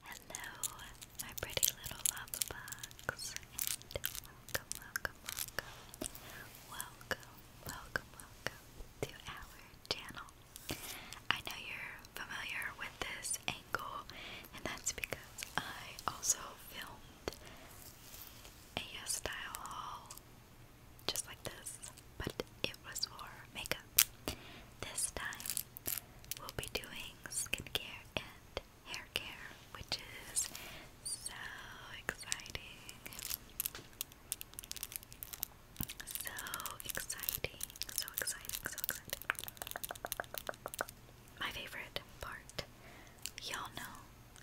Hello, my pretty little lava bugs, and welcome, welcome, welcome, welcome, welcome, welcome to our channel. I know you're familiar with this angle, and that's because I also filmed a uh, style haul just like this, but it was for makeup. This time we'll be doing skincare and hair care, which is so exciting. So exciting, so exciting, so exciting. My favorite part. Y'all know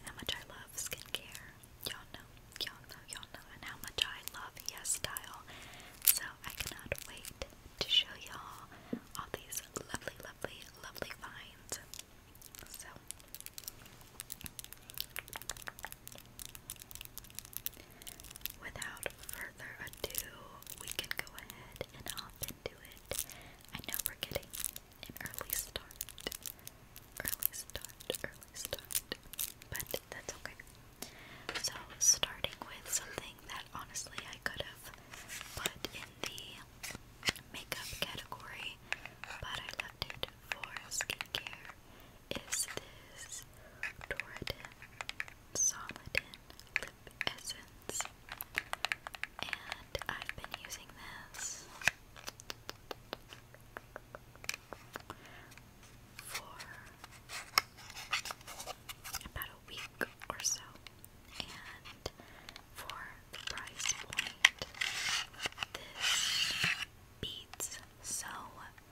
how much I love skincare. Y'all know, y'all know, y'all know, and how much I love Yes Style. So I cannot wait to show y'all all these lovely, lovely, lovely finds. So, without further ado, we can go ahead and hop into it. I know we're getting an early start, early start, early start, but that's okay. So, starting with something that honestly I could have put in the makeup category, but I left it for skincare, is this Doradin Solidin Lip Essence. And I've been using this for about a week or so, and for the price point, this beats so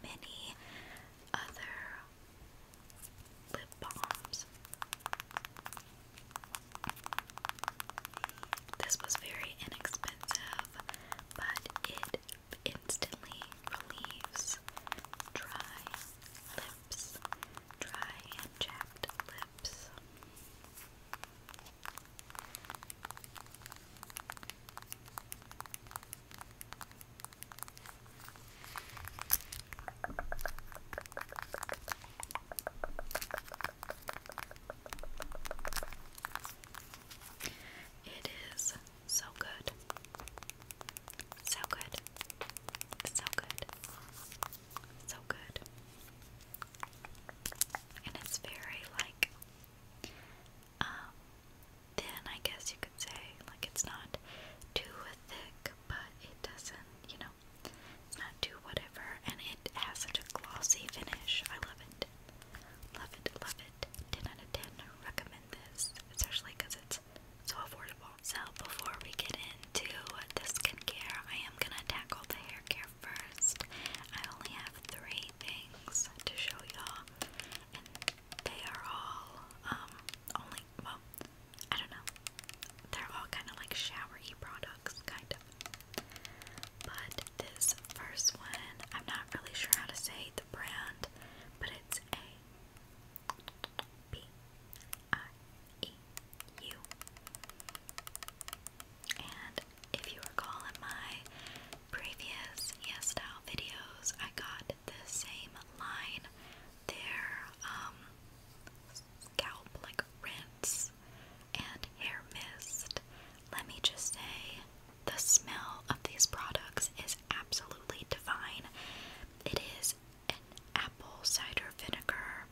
many other lip balms. This was very inexpensive, but it instantly relieves dry lips, dry and chapped lips. It is so good. So good. So good. So good. And it's very like um thin, I guess you could say. Like it's not too thick, but it doesn't, you know, not too whatever. And it has such a glossy finish. I love it. Love it, love it. 10 out of 10. Recommend this. Especially because it's so affordable. So before we get into the skincare, I am gonna tackle the hair care first. I only have three things to show y'all, and they are all um only well, I don't know. They're all kind of like showery products, kind of. But this first one, I'm not really sure how to say the brand, but it's a P I E U. And if you recall in my previous Yes videos, I got the same line. Their um, scalp like rinse and hair mist. Let me just say, the smell of these products is absolutely divine. It is an apple cider vinegar,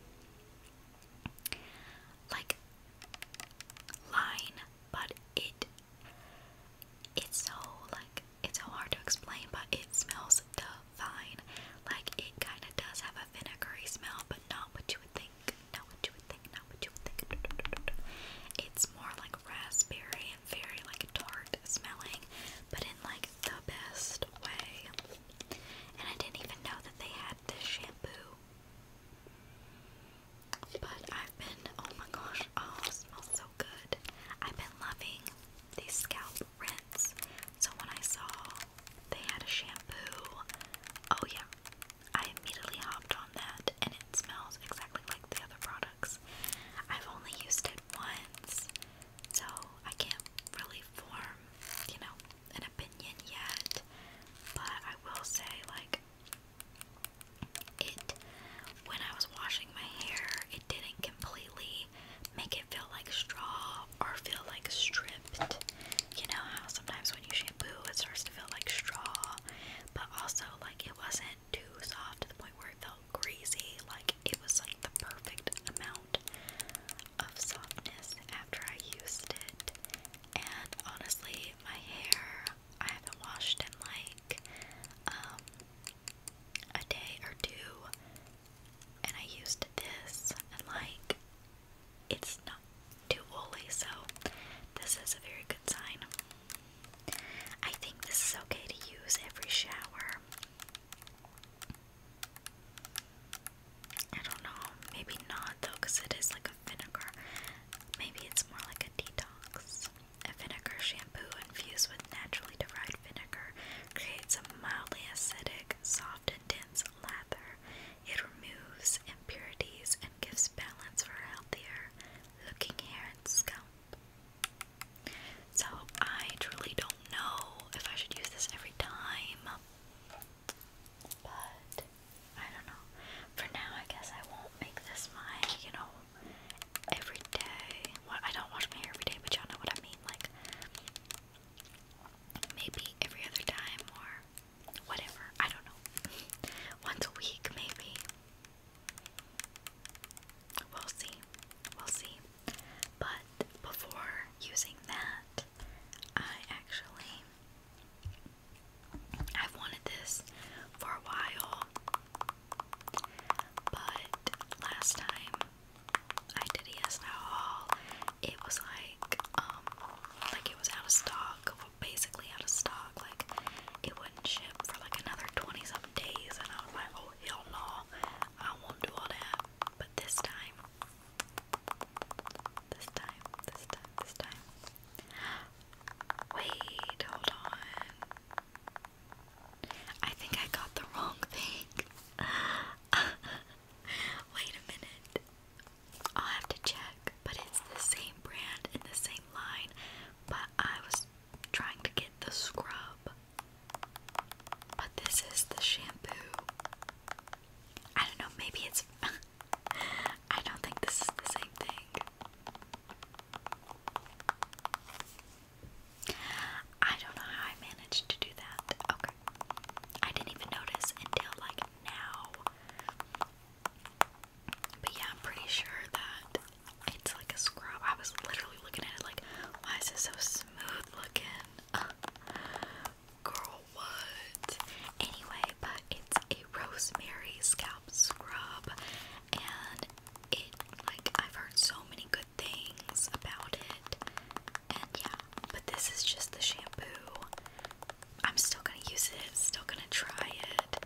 like line, but it it's so like it's so hard to explain, but it smells divine. Like it kind of does have a vinegary smell, but not what you would think. Not what you would think. Not what you would think. It's more like raspberry very, very like tart smelling, but in like the best way. And I didn't even know that they had this shampoo. But I've been, oh my gosh, oh, it smells so good. I've been loving these scalp rinse. So when I saw they had a shampoo, oh yeah, I immediately hopped on that and it smells exactly like the other products. I've only used it once so I can't really form, you know, an opinion yet. But I will say, like, it when I was washing my hair, it didn't completely make it feel like straw or feel like stripped. You know how sometimes when you shampoo, it starts to feel like straw, but also like it wasn't too soft to the point where it felt greasy. Like it was like the perfect amount of softness after I used it. And honestly, my hair I haven't washed it like um, a day or two. And I used this and like it's not too woolly, so this is a very good sign. I think this is okay to use every shower. I don't know, maybe not though, because it is like a vinegar. Maybe it's more like a detox. A vinegar shampoo infused with naturally derived vinegar creates a mildly acidic, soft, and dense lather. It removes impurities and gives balance for healthier looking hair and scalp. So I truly don't know if I should use this every time. But I don't know. For now, I guess I won't make this my, you know, every day. Well, I don't wash my hair every day, but y'all know what I mean. Like, maybe every other time or whatever. I don't know. Once a week, maybe. We'll see. We'll see. But before using that, I actually I've wanted this for a while. But last time I did a yes haul, it was like um like it was out of stock, basically out of stock. Like it for like another 20 some days, and I was like, oh, hell no, I won't do all that. But this time, this time, this time, this time. Wait, hold on. I think I got the wrong thing. Wait a minute. I'll have to check, but it's the same brand and the same line, but I was trying to get the scrub, but this is the shampoo. I don't know, maybe it's. I don't think this is the same thing. I don't know how I managed to do that. Okay. I didn't even notice until like now. But yeah, I'm pretty sure that it's like a scrub. I was literally looking at it like, why is it so smooth looking? girl, what? Anyway, but it's a rosemary scalp scrub, and it like I've heard so many good things about it, and yeah. But this is just the shampoo. I'm still gonna use it. Still gonna try it.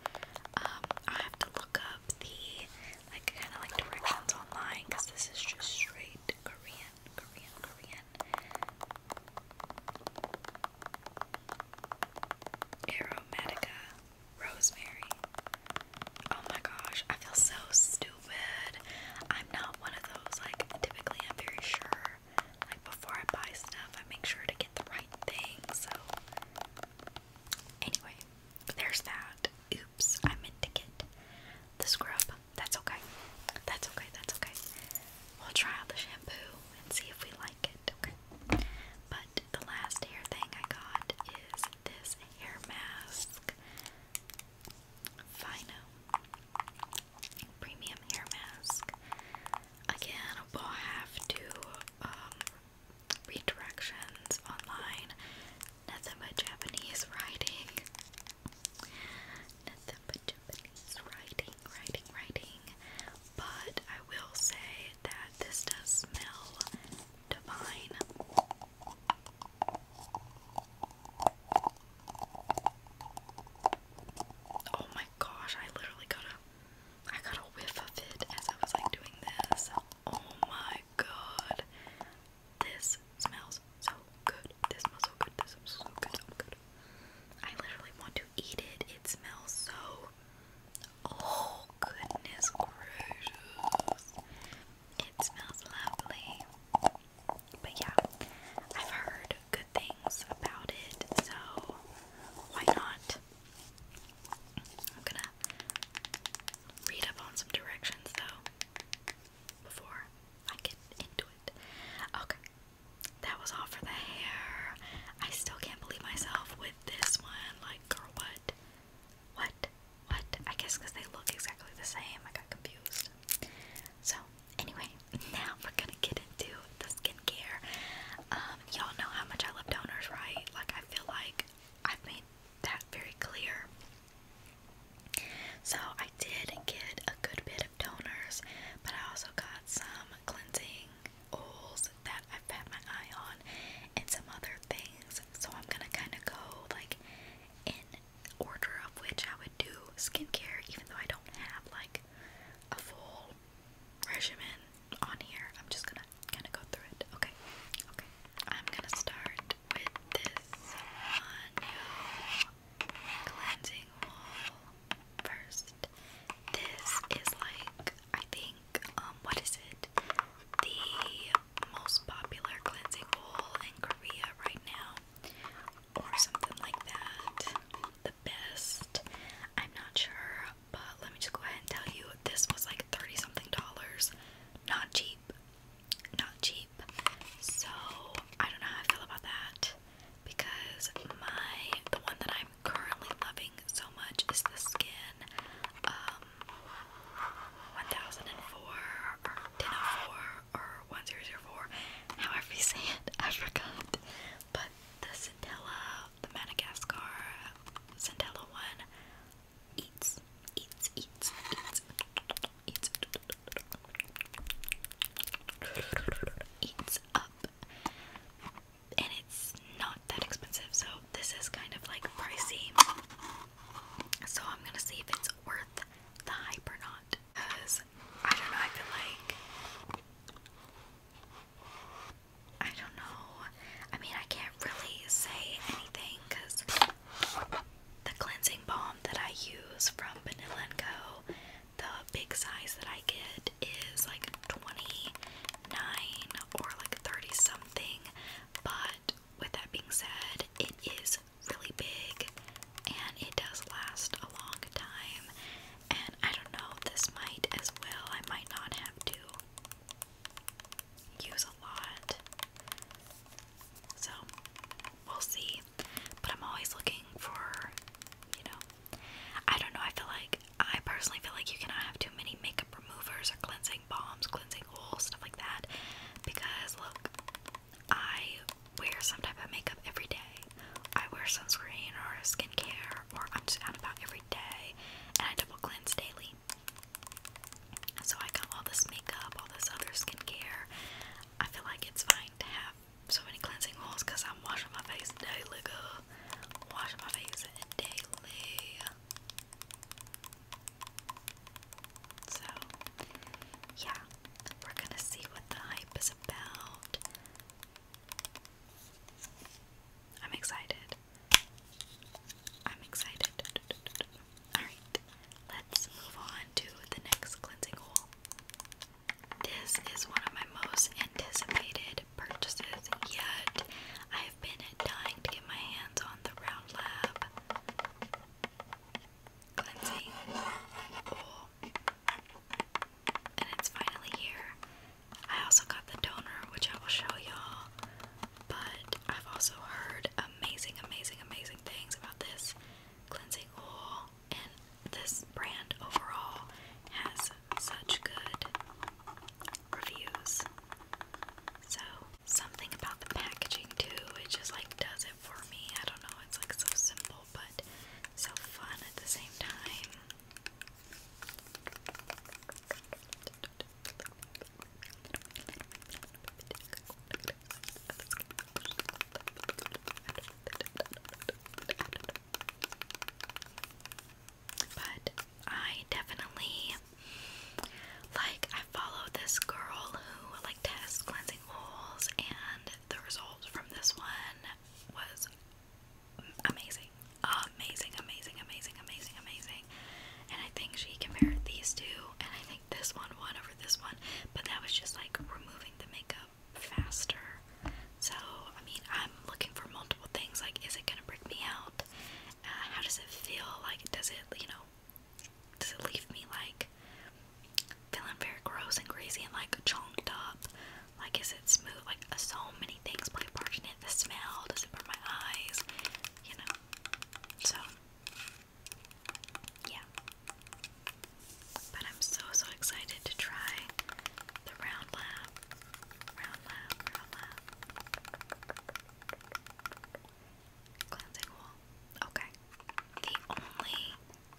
Um, I have to look the like kind of like directions online because this is just straight Korean, Korean, Korean. Aromatica, rosemary. Oh my gosh, I feel so stupid. I'm not one of those like typically. I'm very sure. Like before I buy stuff, I make sure to get the right thing. So Anyway, there's that. Oops, I meant to get the scrub. That's okay. That's okay. That's okay. We'll try out the shampoo and see if we like it. Okay. But the last hair thing I got is this hair mask. Fino premium hair mask. Again, we'll have to um, read directions online. Nothing but Japanese writing. Nothing but Japanese writing, writing, writing. But I will say that this does smell divine. Oh my gosh, I literally got I got a whiff of it as I was like doing this. Oh my god. This smells so good. This smells so good. This smells so good. I literally want to eat it. It smells so Oh goodness gracious. It smells lovely. But yeah, I've heard good things about it, so why not? I'm gonna read up on some directions though before I get into it. Okay, that was all for the hair. I still can't believe myself with this one. Like, girl, what? What? What? I guess because they look exactly the same. I got confused. So, anyway, now we're gonna get into the skincare. Um, y'all know how much I love donors, right? Like, I feel like I've made that very clear. So I did get a good bit of toners, but I also got some cleansing oils that I've had my eye on and some other things. So I'm gonna kinda go like in order of which I would do skincare, even though I don't have like a full regimen on here. I'm just gonna kind of go through it. Okay, okay. I'm gonna start with this Hanyu cleansing wall first. This is like I think um what is it? The most popular cleansing wall in Korea right now, or something like that. The best. I'm not sure but let me just go ahead and tell you this was like 30 something dollars. Not cheap. Not cheap. So I don't know how I feel about that because my the one that I'm currently loving so much is the skin um 1004 or 1004 1004 however you say it I forgot but the Centella the Madagascar Centella one eats, eats, eats, eats, eats up. And it's not that expensive, so this is kind of like pricey. So I'm gonna see if it's worth the hype or not. Because I don't know, I feel like I don't know. I mean, I can't really say anything because the cleansing balm that I use from Vanilla Co, the big size that I get is like 29 or like 30 something. But with that being said, it is really big and it does last a long time. And I don't know, this might as well, I might not have to use a lot. So we'll see. But I'm always looking for, you know, I don't know. I feel like, I personally feel like you cannot have too many makeup removers or cleansing bombs, cleansing oils, stuff like that. Because look, I wear some type of makeup every day. I wear sunscreen or a skin skincare or I'm just out about every day and I double cleanse daily. So I got all this makeup, all this other skincare. I feel like it's fine to have so many cleansing oils because I'm washing my face daily, Washing my face daily. So, yeah, we're gonna see what the hype is about. I'm excited. I'm excited. Alright, let's move on to the next cleansing haul. This is one of my most anticipated purchases yet. I have been dying to get my hands on the Round Lab cleansing haul. And it's finally here. I also got the donor, which I will show y'all, but I've also heard amazing, amazing, amazing things about this cleansing oil, and this brand overall has such good reviews. So, something about the packaging, too, it just like does it for me. I don't know, it's like so simple, but so fun at the same time. But I definitely like I follow this girl who like test cleansing oils and the results from this one was amazing, amazing, amazing, amazing, amazing, amazing. And I think she compared these two, and I think this one won over this one, but that was just like removing the makeup faster. So, I mean, I'm looking for multiple things like, is it gonna break me out? Uh, how does it feel? Like, does it, you know, does it leave me like feeling very gross and crazy and like chonked up? Like, is it smooth? Like, uh, so many things play a part in it. The smell does it burn my eyes, you know. So, yeah. But I'm so so excited to try the round lab, round lab, round lab cleansing Okay. The only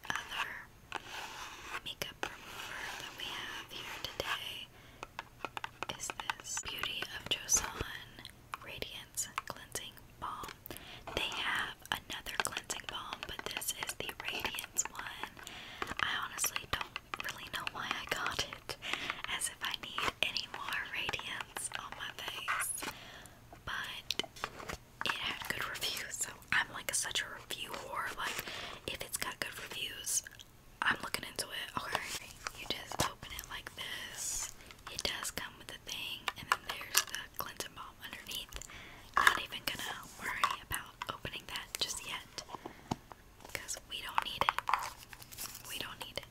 other makeup remover that we have here today is this Beauty of Joseon Radiance Cleansing Balm. They have another cleansing balm, but this is the Radiance one. I honestly don't really know why I got it, as if I need any more radiance on my face. But it had good reviews, so I'm like such a review whore. Like, if it's got good reviews, I'm looking into it. Okay, you just open it like this. It does come with a thing, and then there's the cleansing balm underneath. Not even gonna worry about opening that just yet, because we don't need it. We don't need it.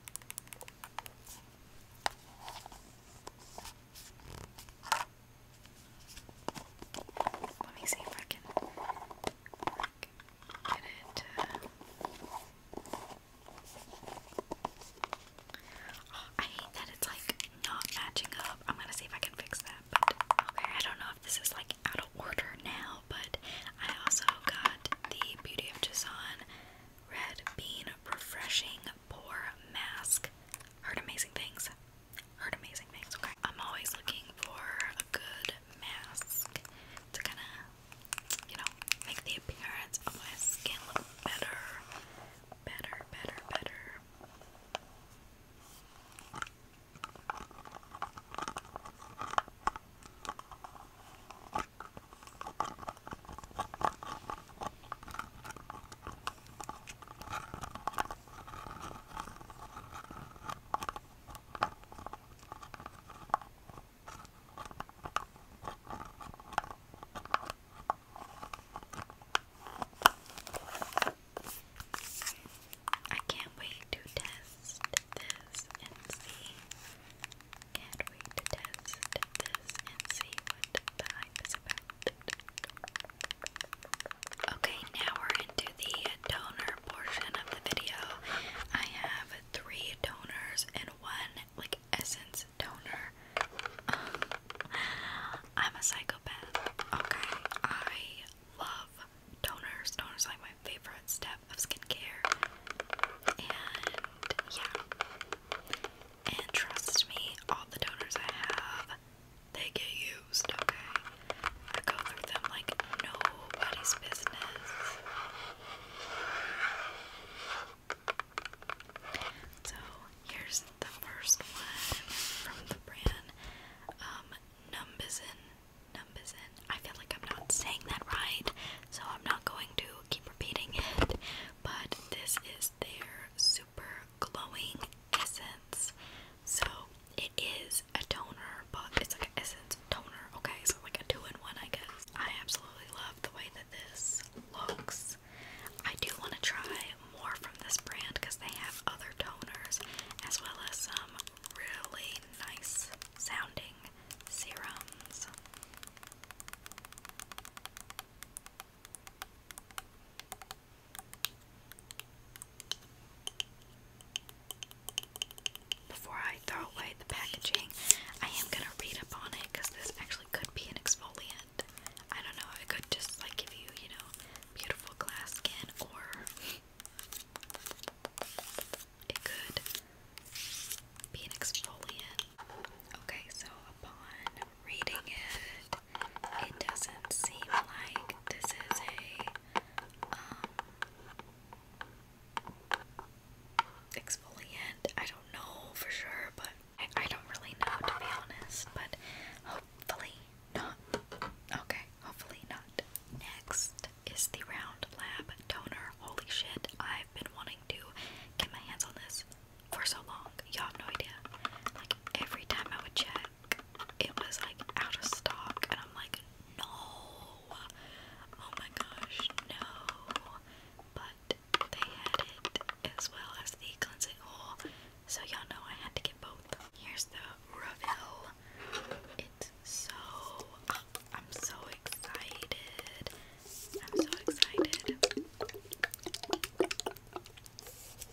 Let me see if I can Oh, I hate that it's like not matching up. I'm gonna see if I can fix that. okay, I don't know if this is like out of order now, but I also got the Beauty of Jason Red Bean Refreshing Pore Mask. Heard amazing things. Heard amazing things. Okay, I'm always looking for a good mask to kind of, you know, make the appearance of my skin look better. Better, better, better. I can't wait to test this and see. Can't wait to test this and see what the hype is about. Okay, now we're into the toner portion of the video. I have three toners and one like essence toner. I'm a psychopath. Okay, I love toners. Toners like my favorite step of skincare. And yeah. And trust me, all the toners I have, they get used, okay? I go through them like nobody's business. So here's the first one from the brand um, Numbizin. Numbizin. I feel like I'm not saying that right, so I'm not going to keep repeating it. But this is their super glowing essence. So it is a toner, but it's like an essence toner, okay? So, like a two in one, I guess. I absolutely love the way that this looks. I do want to try more from this brand because they have other toners as well as some really nice sounding serums. Before I throw away the packaging, I am going to read up on it because this actually could be an exfoliant. I don't know, it could just like give you, you know, beautiful glass skin or it could be an exfoliant. Okay, so upon reading it, it doesn't seem like this is a um, exfoliant. I don't know for sure, but I, don't really know to be honest. But hopefully not. Okay, hopefully not. Next is the Round Lab Toner. Holy shit, I've been wanting to get my hands on this for so long. Y'all have no idea. Like every time I would check it was like out of stock, and I'm like, no, oh my gosh, no. But they had it as well as the cleansing oil, so y'all know I had to get both. Here's the reveal. It's so. I'm so excited. I'm so excited.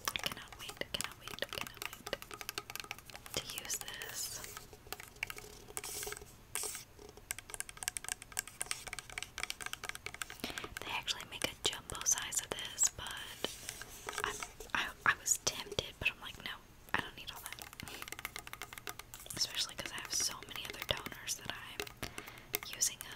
I cannot wait, cannot wait, cannot wait to use this. They actually make a jumbo size of this, but i I, I was tempted, but I'm like, no, I don't need all that. Especially because I have so many other donors that I'm using up.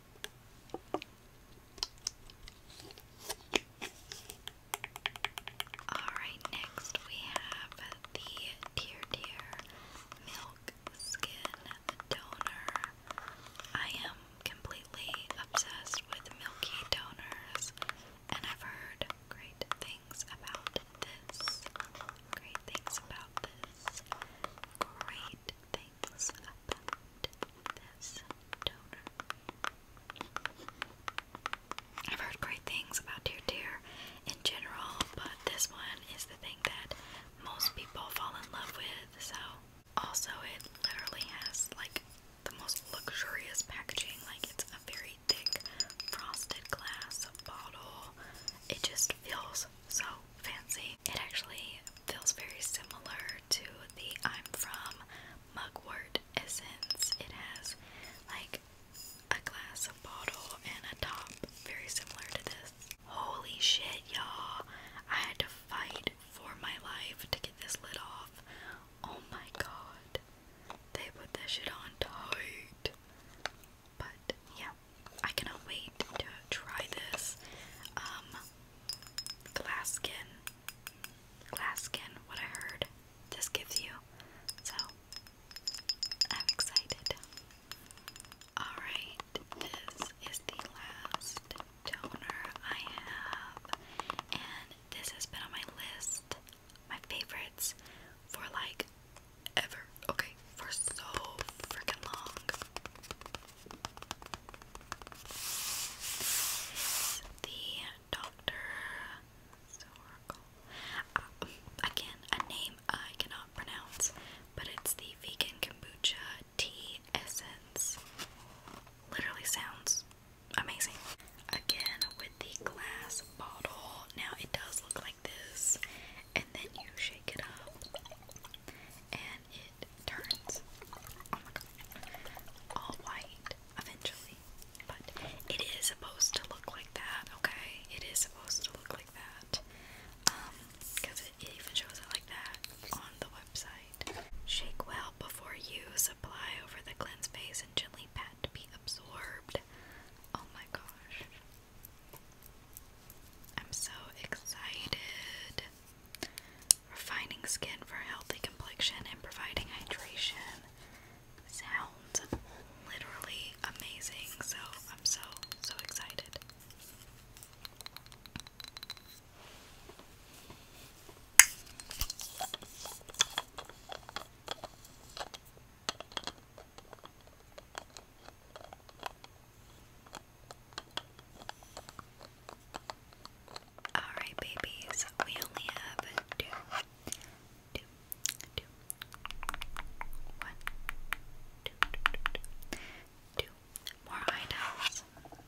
Alright, next we have the Tear Tear Milk Skin Toner. I am completely obsessed with milky toners, and I've heard great things about this. Great things about this. Great things. I've heard great things about Dear Dear in general, but this one is the thing that most people fall in love with, so. Also, it literally has like the most luxurious packaging, like it's a very thick frosted glass bottle. It just feels so fancy. It actually feels very similar to the I'm From Mugwort Essence. It has like a glass, bottle, and a top very similar to this. Holy shit, y'all. I had to fight for my life to get this lid off. Oh my god. They put that shit on tight. But yeah, I cannot wait to try this. Um, Glass skin, glass skin. what I heard this gives you. So, I'm excited. Alright, this is the last toner I have. And this has been on my list, my favorites, for like ever. Okay, for so freaking long. This the Doctor uh, again, a name I cannot pronounce, but it's the vegan kombucha tea essence. Literally sounds amazing. Again, with the glass bottle. Now it does look like this, and then you shake it up, and it turns oh all white eventually. But it is supposed to look like that, okay? It is supposed to look like that. Um, because it, even shows it like that on the website. Shake well before use, apply over the cleanse face, and gently pat to be absorbed. Oh my gosh. I'm so excited refining skin for healthy complexion and providing hydration. Sounds literally amazing, so I'm so, so excited. Alright, babies, we only have two, two, two, one, two, two, two, two, two more items.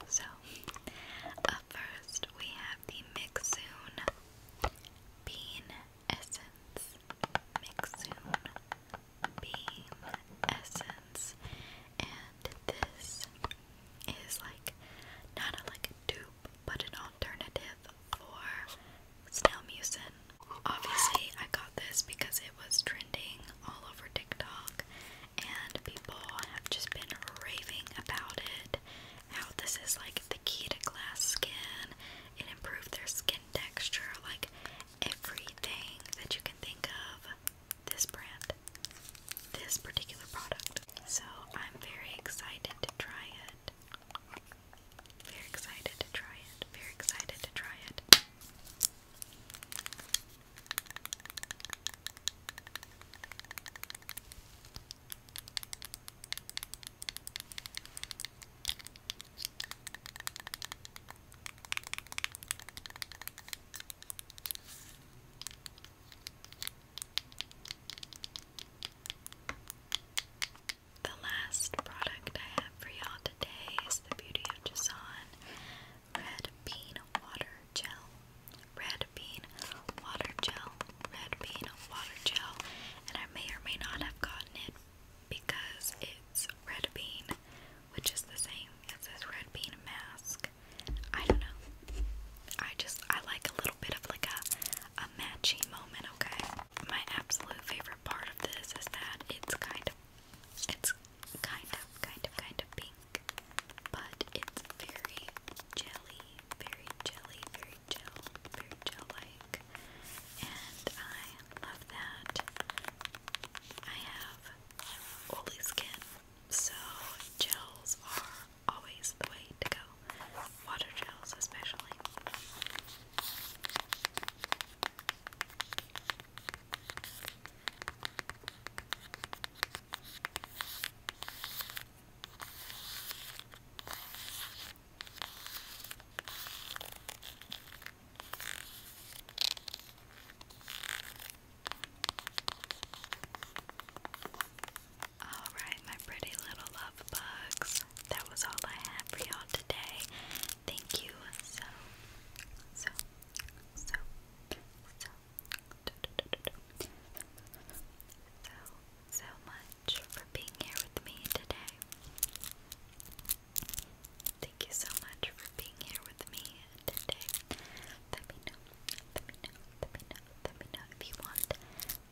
So, uh, first, we have the Mixoon Bean Essence. Mixoon Bean Essence. And this is like not a like a dupe but an alternative for Stelmucin. Obviously I got this because it was trending all over TikTok and people have just been raving about it. How this is like the key to glass skin. It improved their skin texture, like everything that you can think of this brand, this particular product. So I'm very excited to try it. Very excited to try it. Very excited to try it. The last product I have for y'all today is the Beauty of Jason Red Bean Water Gel. Red Bean Water Gel. Red Bean Water Gel. And I may or may not have gotten it because it's red bean, which is the same as this red bean mask. I don't know. I just I like a little bit of like a a matchy moment, okay? My absolute favorite part of this is that it's kind of it's kind of kind of kind of pink, but it's very jelly, very jelly, very gel, very gel like. And I love that. I have oily skin, so gels are always the way to go. Water gels especially. Alright, my pretty little love bugs. That was all I had for y'all today. Thank you so, so, so, so, so, so much for being here with me today. Thank you so much for being here with me today. Let me know, let me know, let me know, let me know if you want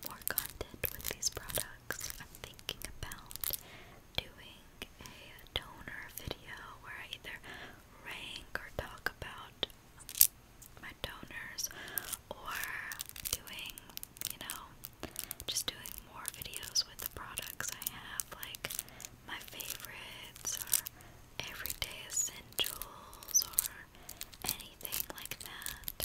more content with these products. I'm thinking about doing a toner video where I either rank or talk about my toners or doing, you know, just doing more videos with the products I have, like my favorites or everyday essentials or anything like that.